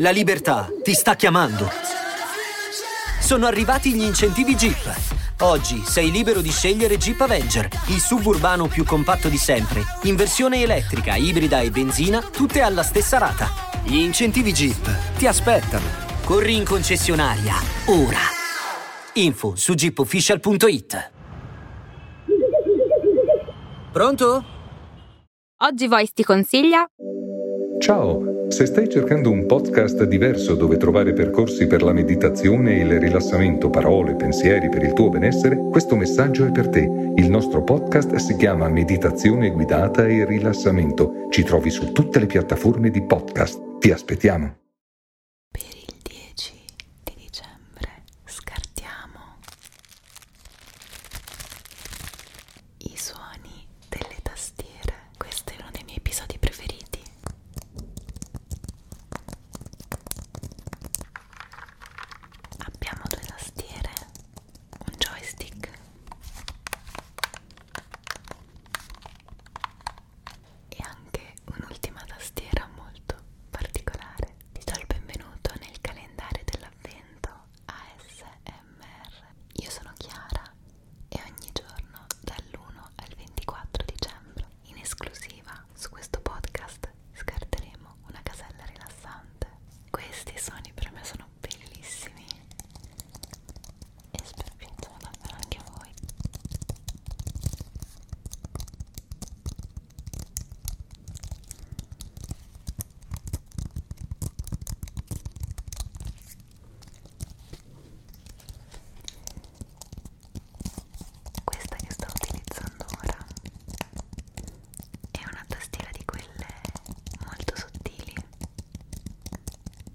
La libertà ti sta chiamando. Sono arrivati gli incentivi Jeep. Oggi sei libero di scegliere Jeep Avenger, il suburbano più compatto di sempre, in versione elettrica, ibrida e benzina, tutte alla stessa rata. Gli incentivi Jeep ti aspettano. Corri in concessionaria, ora. Info su jeepofficial.it Pronto? Oggi Voice ti consiglia? Ciao, se stai cercando un podcast diverso dove trovare percorsi per la meditazione e il rilassamento, parole, pensieri per il tuo benessere, questo messaggio è per te. Il nostro podcast si chiama Meditazione guidata e rilassamento. Ci trovi su tutte le piattaforme di podcast. Ti aspettiamo. Per il 10 di dicembre scartiamo i suoni delle tastiere. Questo è uno dei miei episodi preferiti. Abbiamo due tastiere, un joystick e anche un'ultima tastiera molto particolare. Ti do il benvenuto nel calendario dell'avvento ASMR. Io sono Chiara e ogni giorno dall'1 al 24 dicembre in esclusiva su questo podcast scarteremo una casella rilassante. Questi suoni per me sono bellissimi e spero che davvero anche voi questa che sto utilizzando ora è una tastiera di quelle molto sottili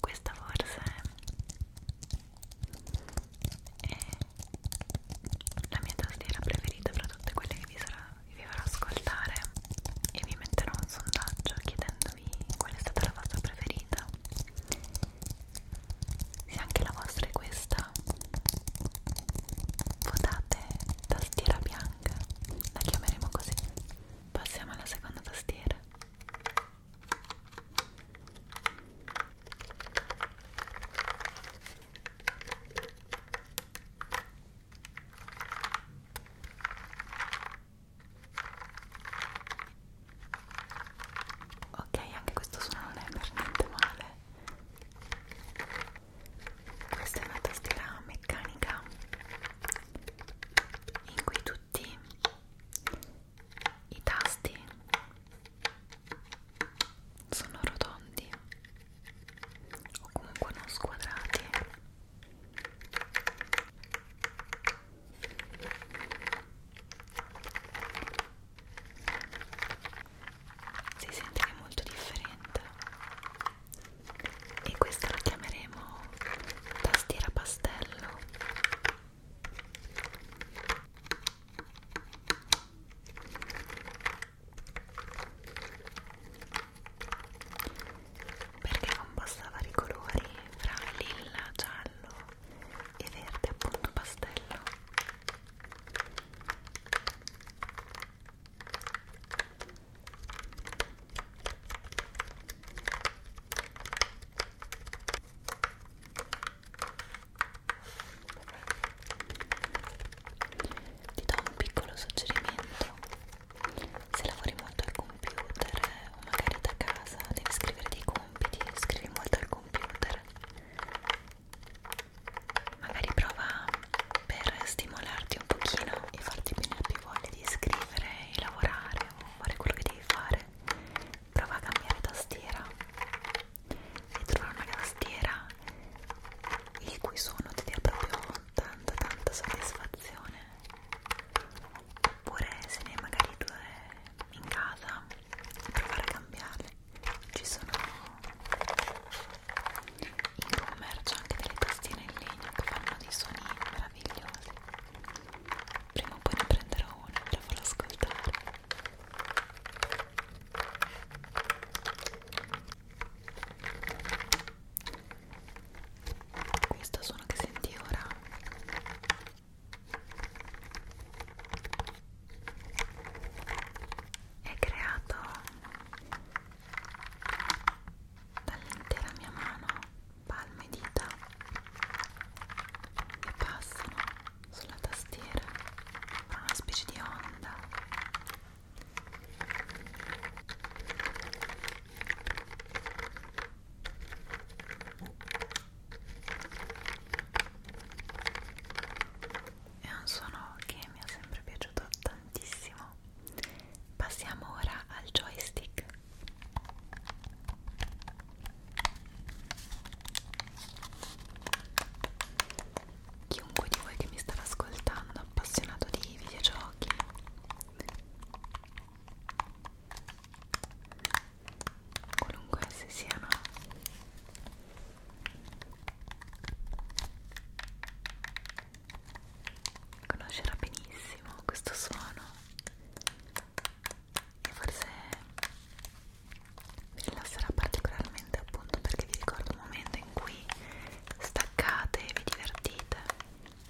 Questa forse è la mia tastiera preferita fra tutte quelle che vi, sarà, che vi farò ascoltare e vi metterò un sondaggio chiedendovi qual è stata la vostra preferita se anche la vostra è questa votate tastiera bianca la chiameremo così passiamo alla seconda tastiera Ok, anche questo suono non è per niente male questa è una tastiera meccanica in cui tutti i tasti sono rotondi o comunque non squadrati si sente che è molto differente e questa la chiameremo tastiera pastello perché non vari colori fra lilla, giallo e verde appunto pastello ti do un piccolo suggerimento se lavori molto al computer eh, o magari da casa devi scrivere dei compiti scrivi molto al computer computer magari prova per stimolarti un pochino e farti venire più voglia di scrivere e lavorare o fare quello che devi fare prova a cambiare tastiera e trovare una tastiera il cui suono ti dia proprio tanta tanta soddisfazione oppure se ne hai magari due in casa e provare a cambiarle ci sono in commercio anche delle tastine in legno che fanno dei suoni meravigliosi prima o poi ne prenderò una e la farò ascoltare questo suono che senti ora è creato dall'intera mia mano palme e dita che passano sulla tastiera per una specie di onda è un suono che mi è sempre piaciuto tantissimo. Passiamo ora al joystick. Chiunque di voi che mi starà ascoltando, appassionato di videogiochi qualunque esse siano conoscerà benissimo questo suono e forse vi rilasserà particolarmente appunto perché vi ricordo un momento in cui staccate e vi divertite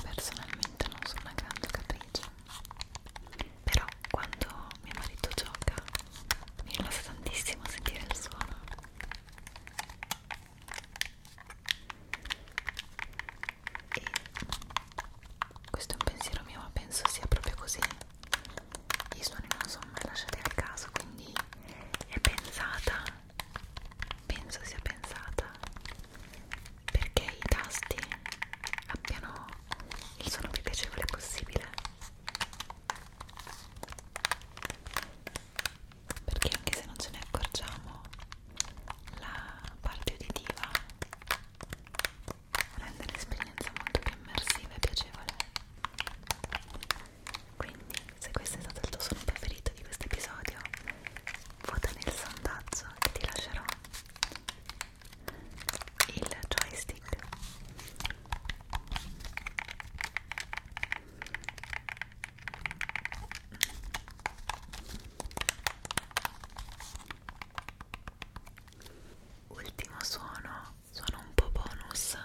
Personalmente non sono una grande capriccia, però quando mio marito gioca mi rilassa tantissimo sentire il suono e questo è un pensiero mio ma penso sia proprio così i suoni non sono mai lasciati al caso quindi è pensata penso sia pensata perché i tasti abbiano il suono più piacevole possibile perché anche se non ce ne accorgiamo la parte uditiva rende l'esperienza molto più immersiva e piacevole quindi se questo è stato il tuo suono preferito di questo episodio vota nel sondaggio che ti lascerò il joystick Ultimo suono, suono un po' bonus.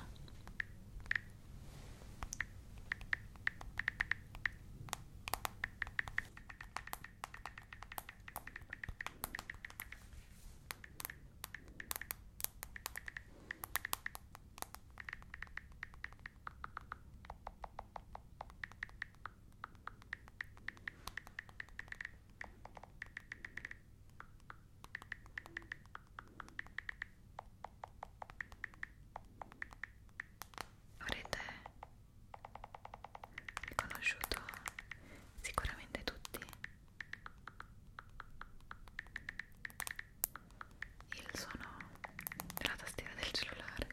Avrete riconosciuto sicuramente tutti il suono della tastiera del cellulare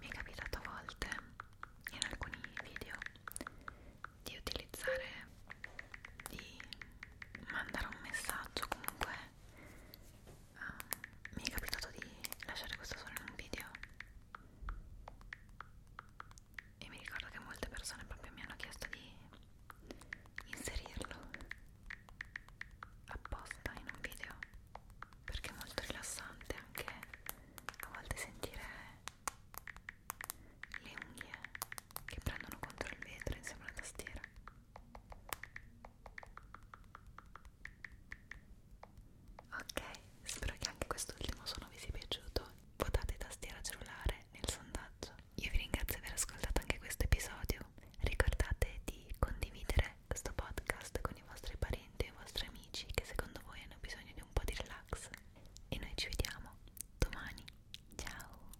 mi è capitato a volte in alcuni video di utilizzare di mandare un messaggio comunque um, mi è capitato di lasciare questo suono in un video e mi ricordo che molte persone proprio mi hanno chiesto di inserirlo apposta in un video perché è molto rilassante anche a volte sentire le unghie che prendono contro il vetro insieme alla tastiera ok spero che anche quest'ultimo suono vi sia piaciuto votate tastiera cellulare nel sondaggio io vi ringrazio di aver ascoltato anche questo episodio ricordate di condividere questo podcast con i vostri parenti e i vostri amici che secondo voi hanno bisogno di un po' di relax e noi ci vediamo domani ciao